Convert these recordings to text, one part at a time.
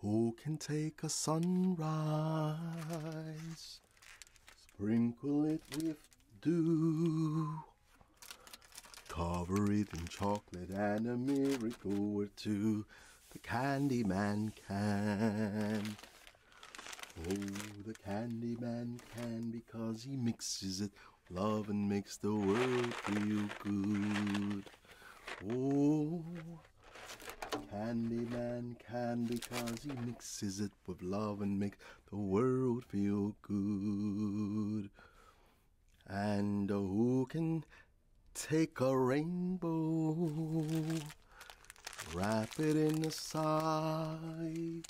Who can take a sunrise, sprinkle it with dew, cover it in chocolate and a miracle or two? The candy man can. Oh, the candy man can because he mixes it love and makes the world feel good. Oh. Candyman can because he mixes it with love and makes the world feel good. And who can take a rainbow, wrap it in a sigh,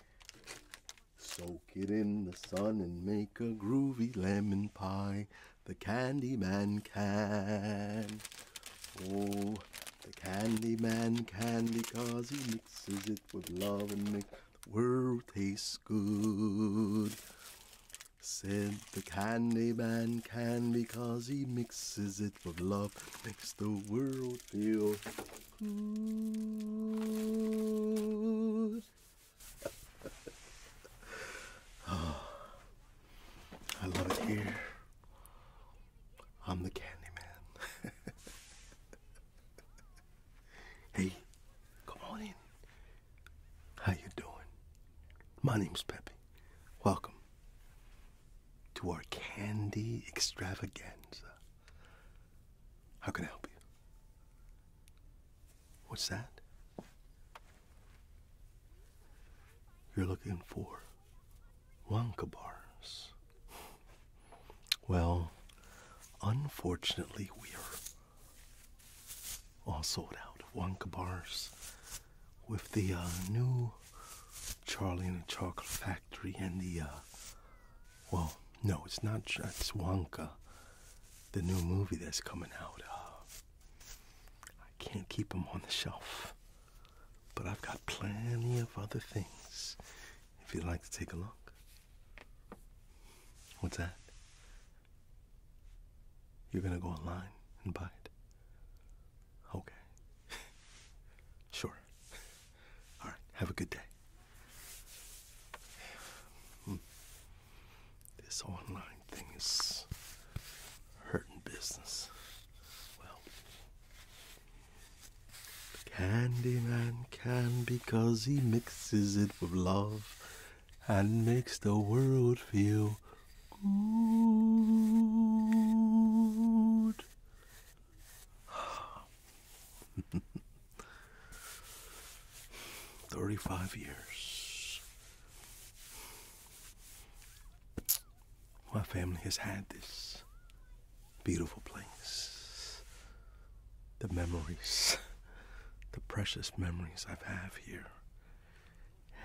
soak it in the sun and make a groovy lemon pie? the candy man can. Oh, the candy man can because he mixes it with love and makes the world taste good. Said the candy man can because he mixes it with love, makes the world feel good. Ah. I love it here. I'm the candy man. hey, come on in. How you doing? My name's Peppy. Welcome to our candy extravaganza. How can I help you? What's that? You're looking for Wonka bars. Well, unfortunately, we are all sold out of Wonka bars with the uh, new Charlie and the Chocolate Factory and the, uh, well, no, it's not, it's Wonka, the new movie that's coming out. of. Uh, I can't keep them on the shelf. But I've got plenty of other things if you'd like to take a look. What's that? You're gonna go online and buy it? Okay. sure. Alright, have a good day. Hmm. This online Things hurting business. Well, Candyman can because he mixes it with love and makes the world feel good. Thirty five years. My family has had this beautiful place. The memories, the precious memories I've have here.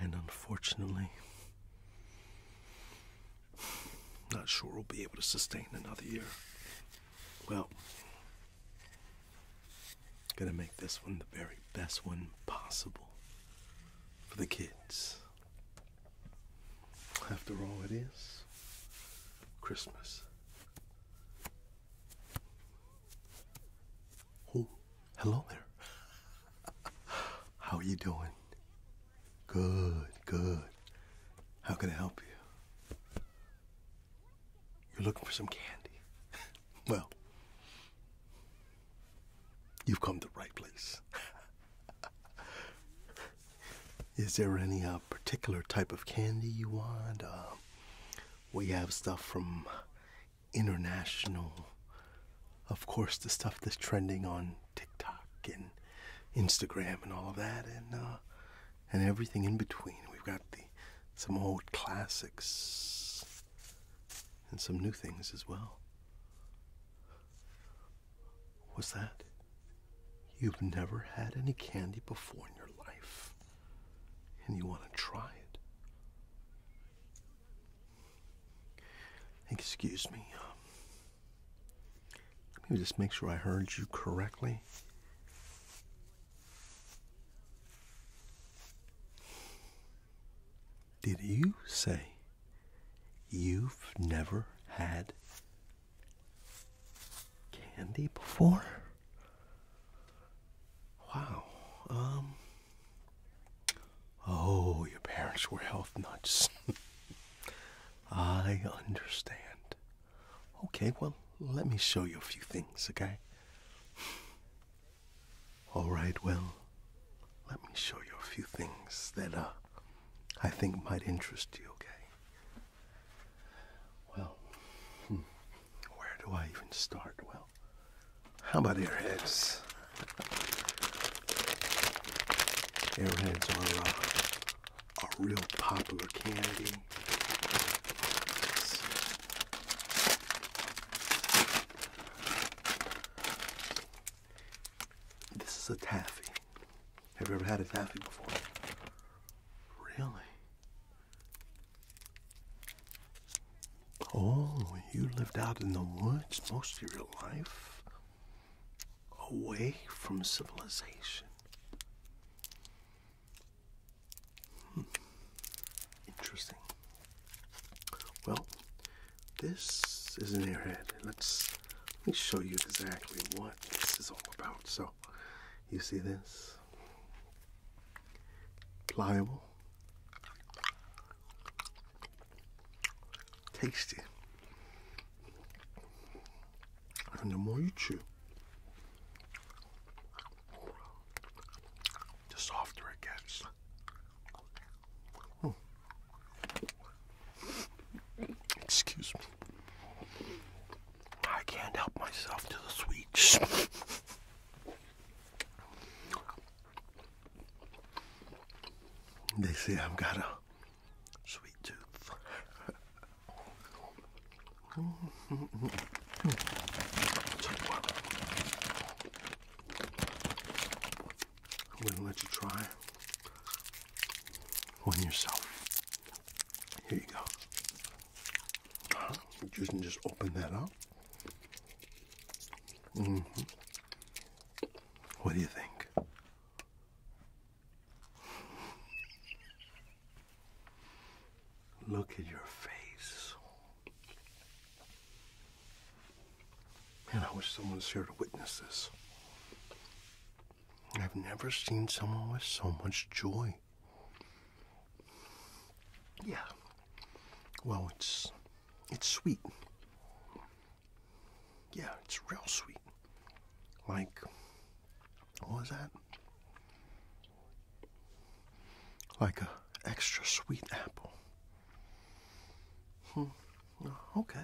And unfortunately, not sure we'll be able to sustain another year. Well, gonna make this one the very best one possible for the kids. After all, it is Christmas. Oh, hello there. How are you doing? Good, good. How can I help you? You're looking for some candy. Well, you've come to the right place. Is there any uh, particular type of candy you want? Um, we have stuff from international. Of course, the stuff that's trending on TikTok and Instagram and all of that, and uh, and everything in between. We've got some old classics and some new things as well. What's that? You've never had any candy before in your life, and you want to try it. Excuse me. Um, let me just make sure I heard you correctly. Did you say you've never had candy before? Wow. Um. Oh, your parents were health nuts. I understand. Okay, well, let me show you a few things, okay? All right, well, let me show you a few things that uh, I think might interest you, okay? Well, hmm, where do I even start? Well, how about airheads? Airheads are uh, a real popular candy. This is a taffy. Have you ever had a taffy before? Really? Oh, you lived out in the woods most of your life? Away from civilization. Hmm. Interesting. Well, this is an airhead. Let's let me show you exactly what this is all about. So, you see this pliable, tasty, and the more you chew, the softer it gets. Hmm. Excuse me. I can't help myself to the sweets. they say I've got a sweet tooth. I'm going to let you try one yourself. Here you go. You can just open that up. Mm-hmm. What do you think? Look at your face. Man, I wish someone was here to witness this. I've never seen someone with so much joy. Yeah. Well, it's it's sweet. Yeah, it's real sweet. Like what was that? Like a extra sweet apple. Hmm. Okay.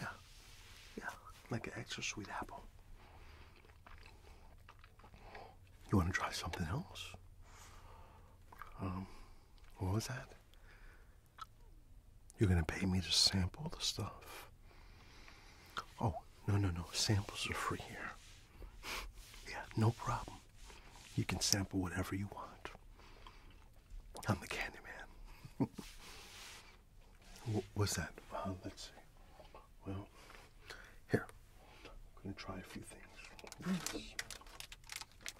Yeah. Yeah. Like an extra sweet apple. You want to try something else? Um, what was that? You're going to pay me to sample the stuff? Oh, no, no, no. Samples are free here. Yeah, no problem. You can sample whatever you want. I'm the candy man. What's that? let's see. Well, here. I'm going to try a few things.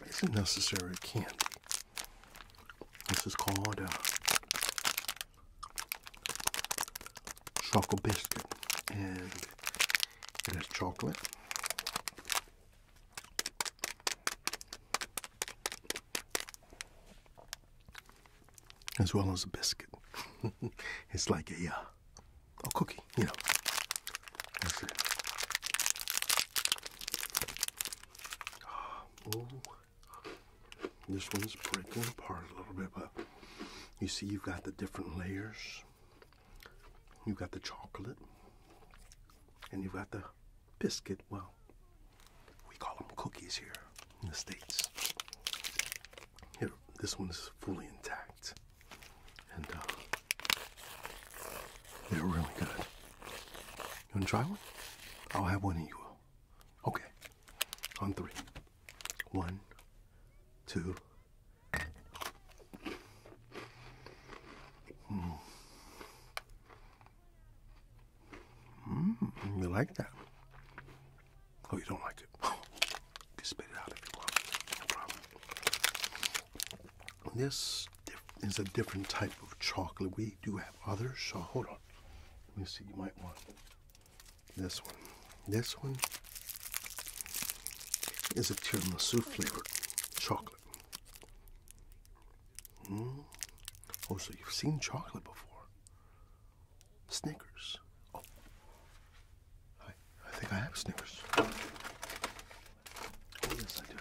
This isn't necessarily candy. This is called a uh, chocolate biscuit. And it has chocolate, as well as a biscuit. it's like a, uh, a cookie, you know. Ah, this one's breaking apart a little bit, but you see you've got the different layers. You've got the chocolate, and you've got the biscuit. Well, we call them cookies here in the States. Here, this one's fully intact. And uh, they're really good. You want to try one? I'll have one and you will. Okay. On three. One, two, Mm. Mm, you like that? Oh, you don't like it? you spit it out if you want. No problem. This is a different type of chocolate. We do have others, so hold on. Let me see. You might want this one. This one is a tiramisu flavored chocolate. Hmm? Oh, so you've seen chocolate before? Snickers. Oh, I, I think I have Snickers. Oh, yes, I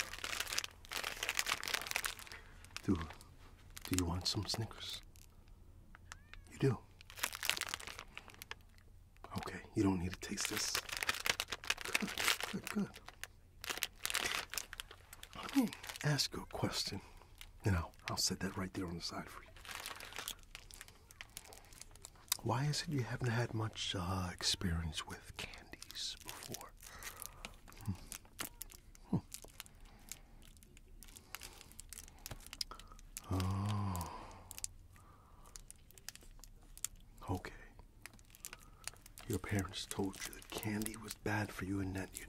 do. Do, do you want some Snickers? You do. Okay, you don't need to taste this. good, good. Let me ask you a question. You know, I'll set that right there on the side for you. Why is it you haven't had much uh, experience with candies before? Hmm. Hmm. Oh. Okay. Your parents told you that candy was bad for you and that your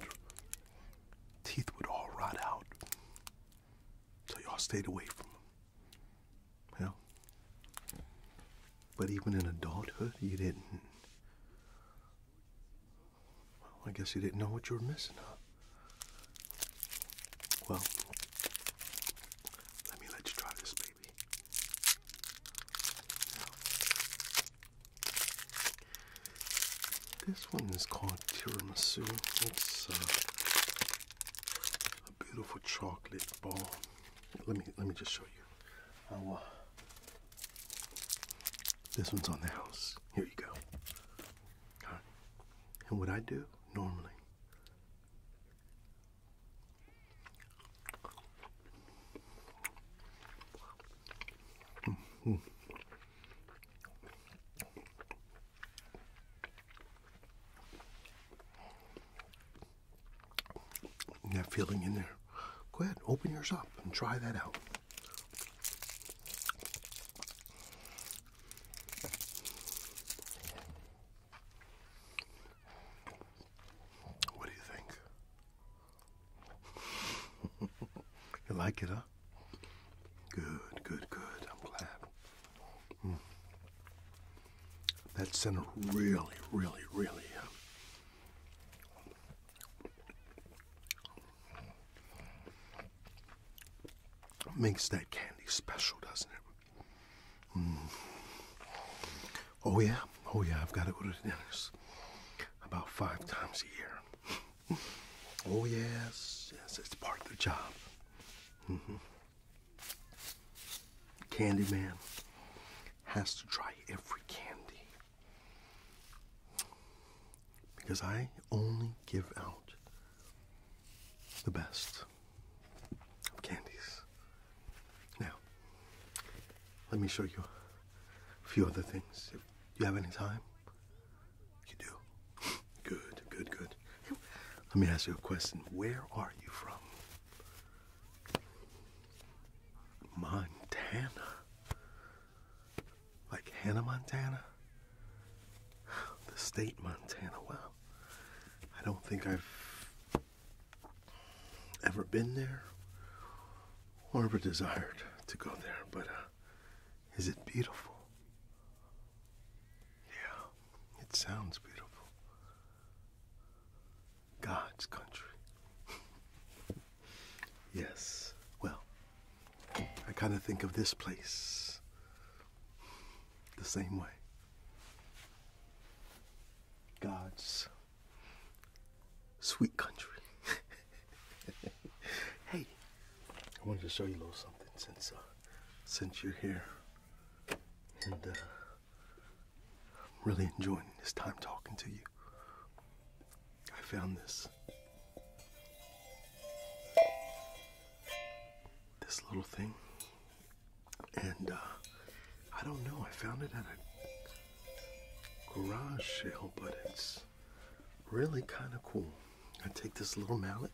teeth would all rot out. So y'all stayed away from them. Well, but even in adulthood, you didn't. Well, I guess you didn't know what you were missing, huh? Well, let me let you try this, this one is called tiramisu. It's uh, a beautiful chocolate ball. Let me let me just show you. Uh, this one's on the house. Here you go. And what I do normally Mm-hmm. That feeling in there. Go ahead, open yours up and try that out. What do you think? you like it, huh? Good, good, good. I'm glad. Hmm. That center really, really, really. Uh, makes that candy special, doesn't it? Hmm. Oh, yeah. Oh, yeah. I've got to go to the dentist about five times a year. oh, yes. Yes, it's part of the job. Mm hmm. man has to try every candy. Because I only give out the best of candies. Now, let me show you a few other things. Do you have any time? You do. Good, good, good. Let me ask you a question. Where are you from? Montana. Like Hannah Montana? The state Montana. Wow. I don't think I've ever been there or ever desired to go there, but uh, is it beautiful? Yeah, it sounds beautiful. God's country. yes, well, I kind of think of this place the same way. God's Sweet country. hey, I wanted to show you a little something since uh, since you're here, and uh, I'm really enjoying this time talking to you. I found this this little thing, and uh, I don't know. I found it at a garage sale, but it's really kind of cool. I take this little mallet.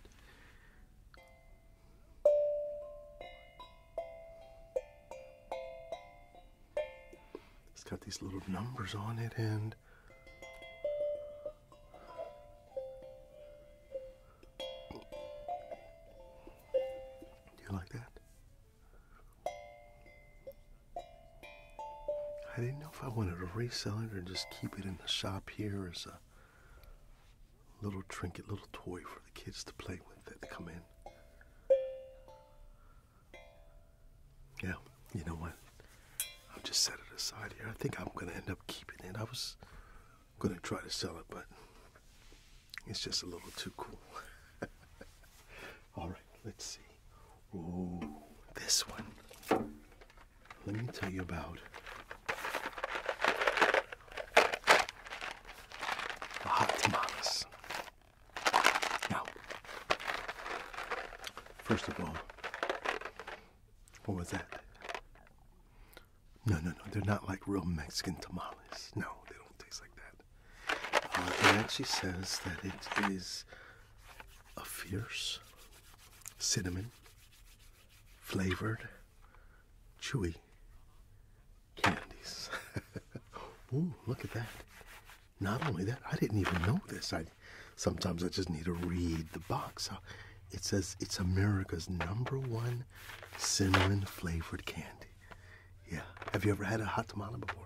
It's got these little numbers on it and do you like that? I didn't know if I wanted to resell it or just keep it in the shop here as a little trinket, little toy for the kids to play with that they come in. Yeah, you know what? I'll just set it aside here. I think I'm going to end up keeping it. I was going to try to sell it, but it's just a little too cool. All right, let's see. Oh, this one. Let me tell you about the hot tamales. Now, first of all, what was that? No, no, no, they're not like real Mexican tamales. No, they don't taste like that it actually says that it is a fierce cinnamon flavored chewy candies. Ooh, look at that. Not only that, I didn't even know this. I sometimes I just need to read the box. It says it's America's number one cinnamon flavored candy. Yeah. Have you ever had a hot tamale before?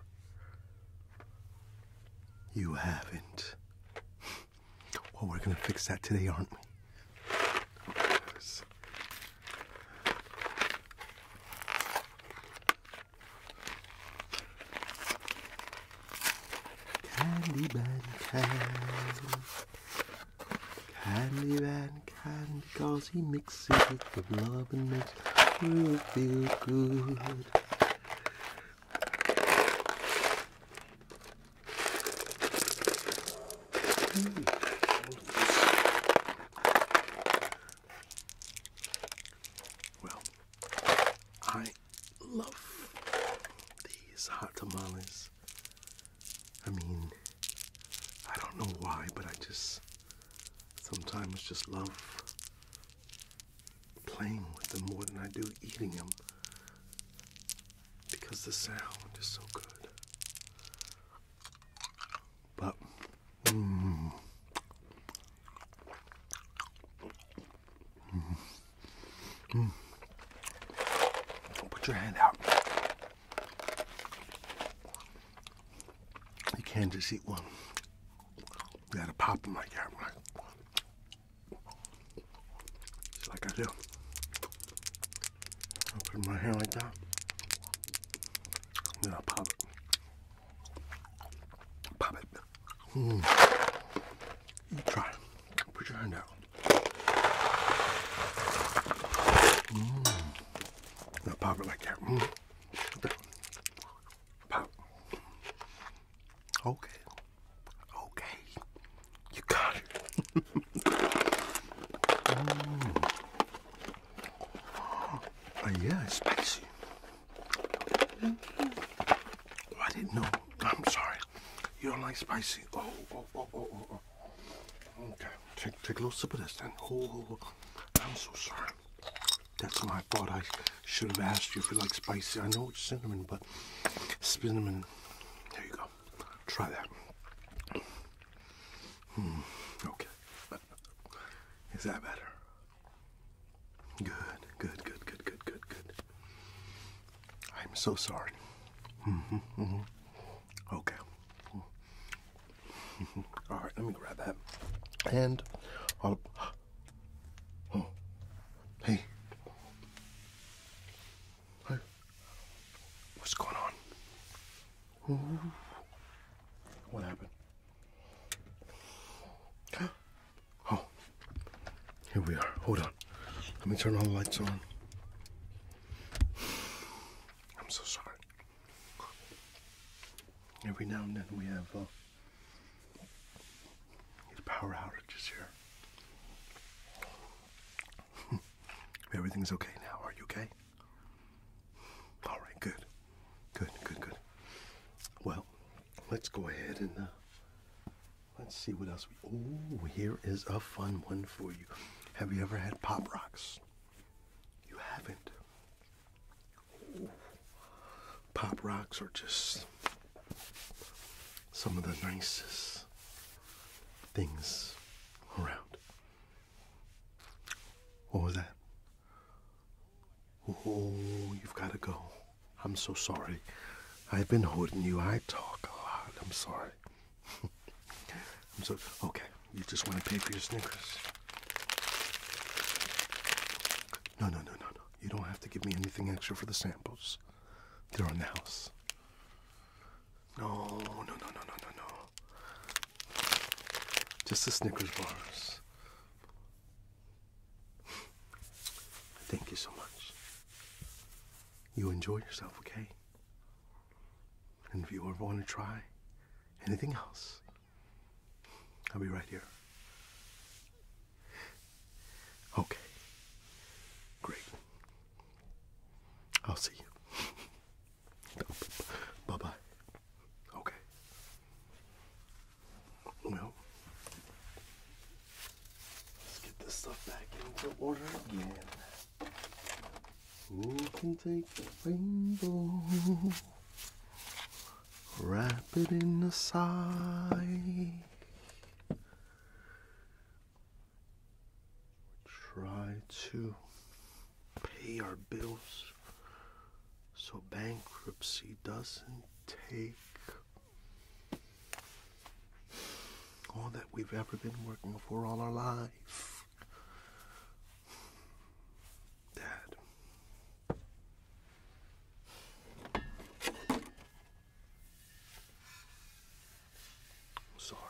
You haven't. Well, we're gonna fix that today, aren't we? because he mixes it with love and makes you feel good. Well, I love these hot tamales. I mean, I don't know why, but I just Sometimes just love playing with them more than I do eating them because the sound is so good. But, mm, mm, mm. put your hand out. You can't just eat one. You gotta pop them like that, like I do. I put my hand like that. Then I pop it. Pop it. Mm. You try. Put your hand out. Mm. Now pop it like that. Hmm. But okay. Okay. You got it. mm. uh, yeah, it's spicy. Thank you. Oh, I didn't know. I'm sorry. You don't like spicy. Oh, oh, oh, oh, oh. Okay. Take, take a little sip of this then. Oh, oh, oh. I'm so sorry. That's my fault. I should have asked you if you like spicy. I know it's cinnamon, but cinnamon. There you go. Try that. Hmm, okay. Is that better? Good, good, good, good, good, good, good. I'm so sorry. Mm-hmm, mm-hmm. Okay. All right, let me grab that. And Oh, hey. Hey. What's going on? Ooh. What happened? Oh, here we are. Hold on. Let me turn all the lights on. I'm so sorry. Every now and then we have uh, power outages here. Everything's okay now. Are you okay? All right, good. Good, good, good. Well, let's go ahead and uh, let's see what else we. Oh, here is a fun one for you. Have you ever had Pop Rocks? You haven't. Pop rocks are just some of the nicest things around. What was that? Oh, you've got to go. I'm so sorry. I've been holding you. I talk a lot. I'm sorry. I'm so okay. You just want to pay for your sneakers. No, no, no, no, no. You don't have to give me anything extra for the samples. They're on the house. No, no, no, no, no, no, no. Just the Snickers bars. Thank you so much. You enjoy yourself, okay? And if you ever want to try anything else, I'll be right here. Okay. Great. I'll see you. bye bye. Okay. Well, let's get this stuff back into order again. Who can take the rainbow? Wrap it in a sigh. Try to pay our bills so bankruptcy doesn't take all that we've ever been working for all our lives, Dad, sorry.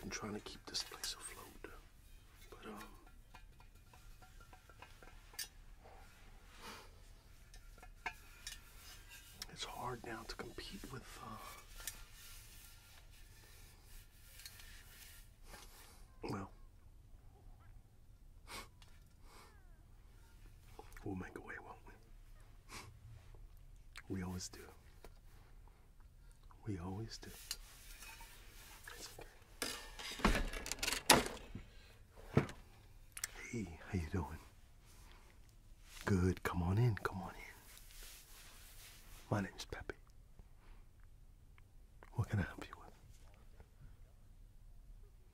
Been trying to keep this place afloat, but um. It's hard now to compete with uh, well, we'll make a way, won't we? We always do. We always do. It's okay. Hey, how you doing? Good. Come on in. Come on in. My name is Peppy. What can I help you with?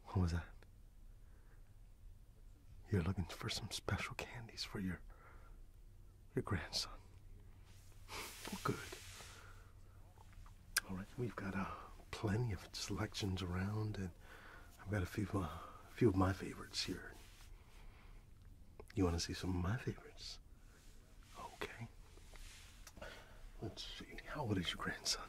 What was that? You're looking for some special candies for your your grandson. Well, good. All right, we've got uh, plenty of selections around, and I've got a few uh, a few of my favorites here. You want to see some of my favorites? Okay. Let's see. How old is your grandson?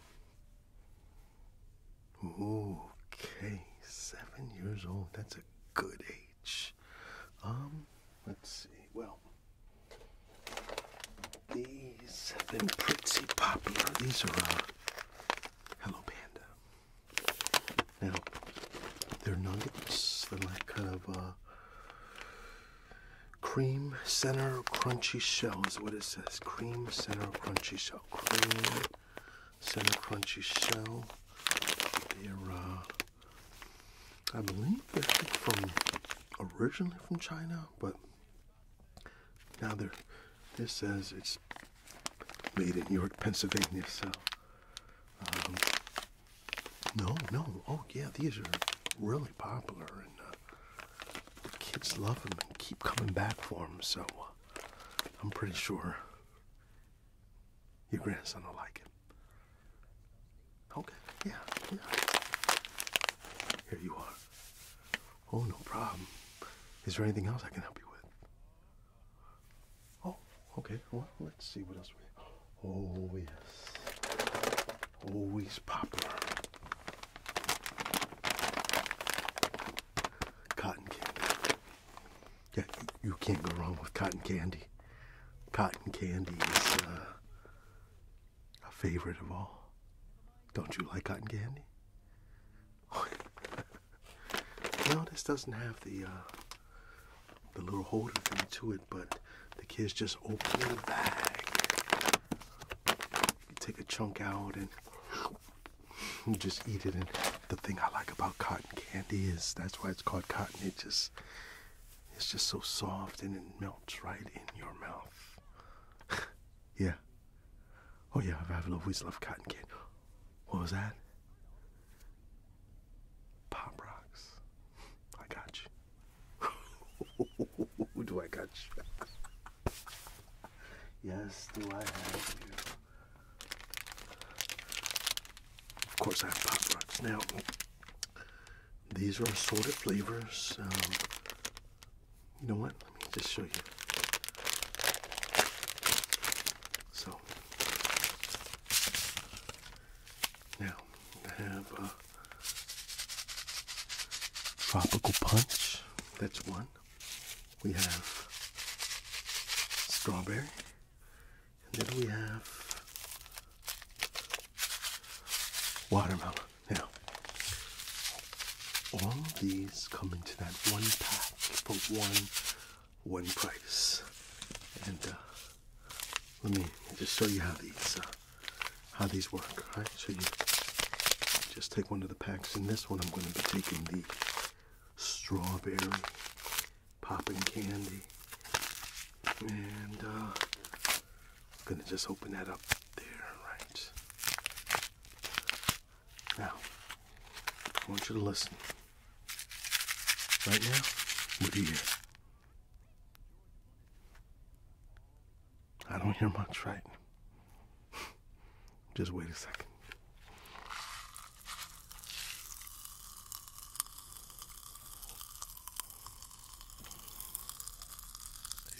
Okay, seven years old. That's a good age. Um, let's see. Well, these have been pretty popular. These are uh, Hello Panda. Now, they're nuggets. They're like kind of uh, Cream center crunchy shell is what it says. Cream center crunchy shell. Cream center crunchy shell. They're, uh, I believe they're from originally from China, but now they're. This says it's made in York, Pennsylvania. So um, no, no. Oh, yeah, these are really popular, and uh, the kids love them and keep coming back for them. So uh, I'm pretty sure your grandson will like it. Okay, yeah. Here you are. Oh, no problem. Is there anything else I can help you with? Oh, okay. Well, let's see what else we have. Oh, yes. Always oh, popular. Cotton candy. Yeah, you, can't go wrong with cotton candy. Cotton candy is uh, a favorite of all. Don't you like cotton candy? no, this doesn't have the uh, the little holder thing to it, but the kids just open the bag. take a chunk out and you just eat it. And the thing I like about cotton candy is that's why it's called cotton. It just it's just so soft and it melts right in your mouth. yeah. Oh yeah, I've always loved cotton candy. What was that? Pop rocks. I got you. Who do I catch? yes, do I have you? Of course, I have Pop Rocks. Now, these are assorted flavors. Um, you know what? Let me just show you. So, now, we have a tropical punch. That's one. We have strawberry. And then we have watermelon. Now, all these come into that one pack for one, one price. And, uh, let me just show you how these uh, how these work. All right, so you just take one of the packs. and this one, I'm going to be taking the strawberry popping candy, and uh, I'm going to just open that up there, right? Now, I want you to listen. Right now, what do you hear? I don't hear much, right? Just wait a second.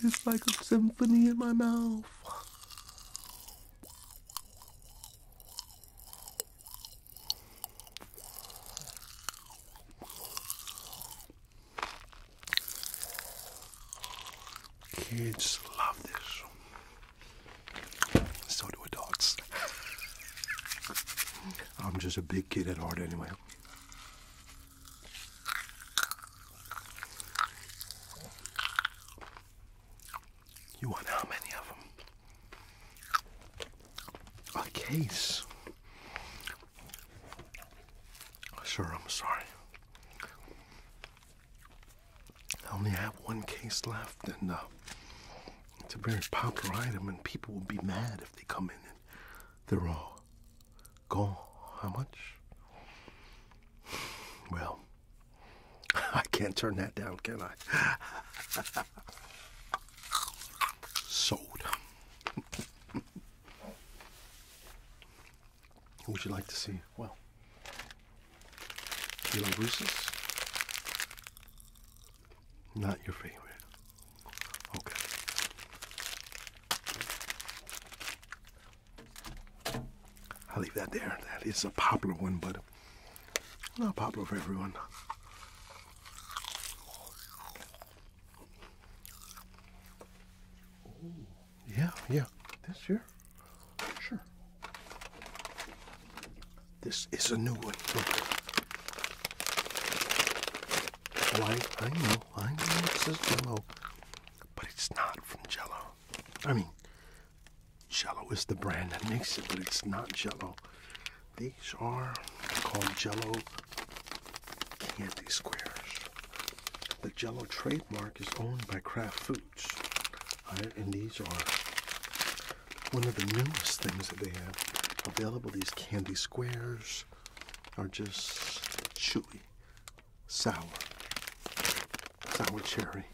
It's like a symphony in my mouth. Kids love this. So do adults. I'm just a big kid at heart anyway. You want how many of them? A case. Sure, I'm sorry. I only have one case left, and uh, it's a very popular item, and people will be mad if they come in and they're all gone. How much? Well, I can't turn that down, can I? Sold. Would you like to see? Well, Kilo Reese's? Not your favorite. Okay. I'll leave that there. That is a popular one, but not popular for everyone yeah, yeah. This year? Sure. This is a new one. Look. I, know, I know it's says Jello, but it's not from Jello. I mean, Jello is the brand that makes it, but it's not Jello. These are called Jello candy squares. The Jello trademark is owned by Kraft Foods, and these are one of the newest things that they have available. These candy squares are just chewy, sour, sour cherry,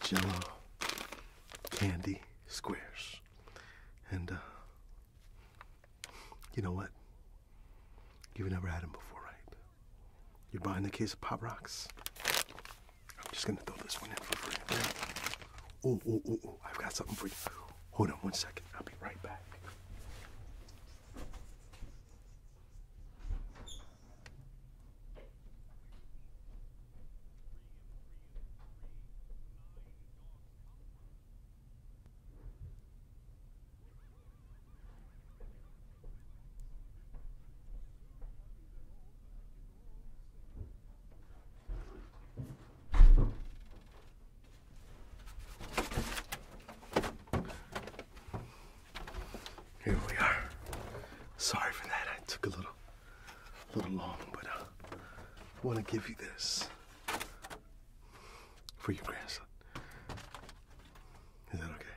Jello candy squares, and uh, you know what? You've never had them before, right? You're buying the case of Pop Rocks. I'm just gonna throw this one in for free. Oh, oh, oh, oh, I've got something for you. Hold on one second. I'll be right back. Here we are. Sorry for that. I took a little, a little long, but I uh, want to give you this for your grandson. Is that okay?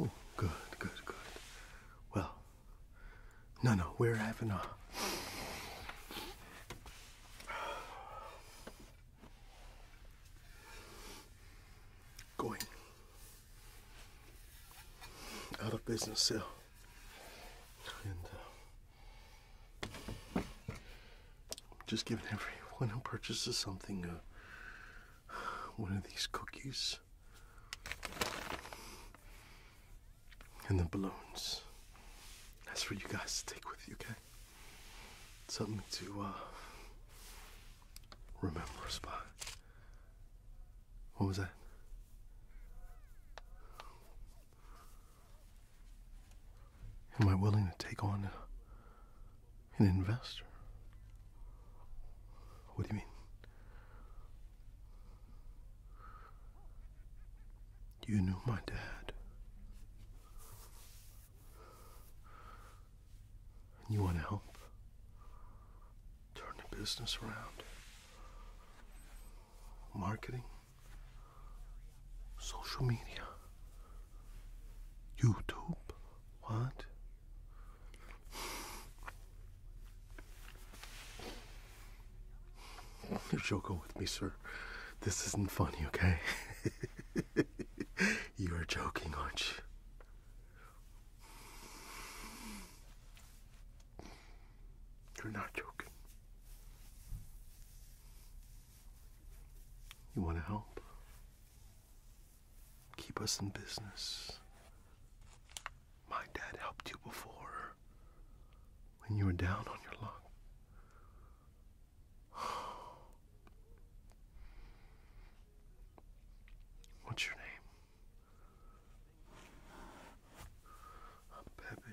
Oh, good, good, good. Well, no, no, we're having a. Going out of business sale. And uh, I'm just giving everyone who purchases something uh, one of these cookies and the balloons. That's for you guys to take with you, okay? Something to uh, remember us by. What was that? Am I willing to take on an investor? What do you mean? You knew my dad. you want to help turn the business around? Marketing? Social media. YouTube. What? You're joking with me, sir. This isn't funny, okay? you are joking, aren't you? You're not joking. You want to help? Keep us in business. My dad helped you before when you were down on your luck. What's your name? Pepe.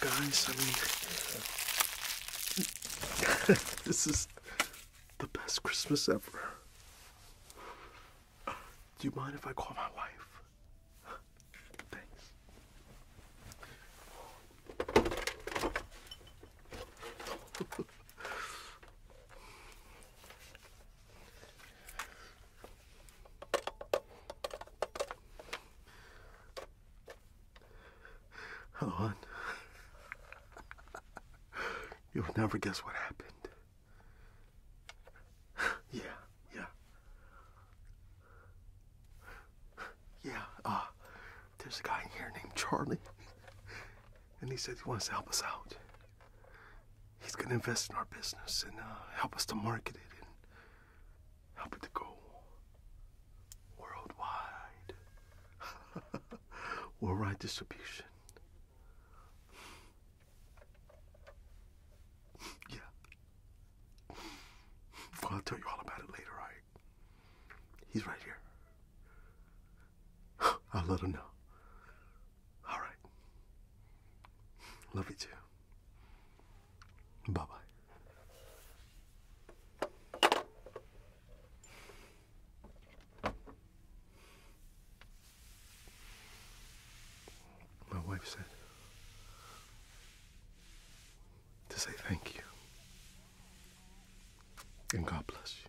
guys. I mean, this is the best Christmas ever. Do you mind if I call my wife? Thanks. Helen, you'll never guess what happened. Yeah, yeah. Yeah, uh, there's a guy in here named Charlie, and he said he wants to help us out. He's gonna invest in our business and uh, help us to market it and happy to go worldwide. Worldwide distribution. yeah. Well, I'll tell you all about it later, right? He's right here. I'll let him know. All right. Love you too. Bye bye. My wife said to say thank you and God bless you.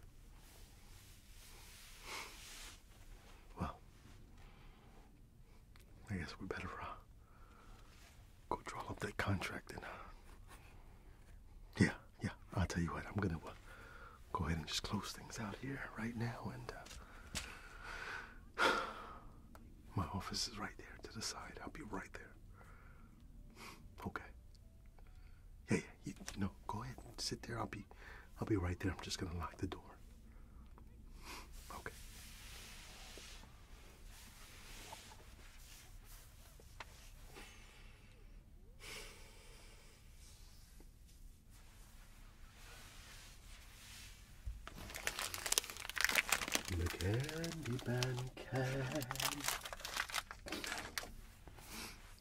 Well, I guess we better uh, Go draw up that contract and. yeah, yeah. I'll tell you what. I'm gonna uh, go ahead and just close things out here right now, and uh, my office is right there to the side. I'll be right there. Okay. Hey, no, go ahead and sit there. I'll be, I'll be right there. I'm just gonna lock the door. Okay. The Candyman can.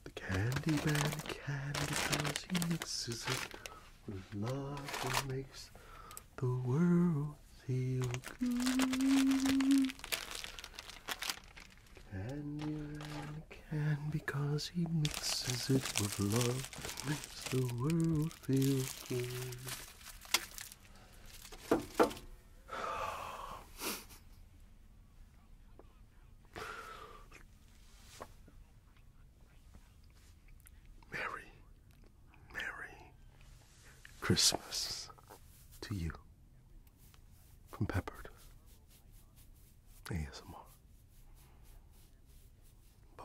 The Candyman can because he mixes it with love and makes the world feel good. Can can because he mixes it with love and makes the world feel good. Mary, Mary, Christmas to you from Peppered ASMR. Bye bye.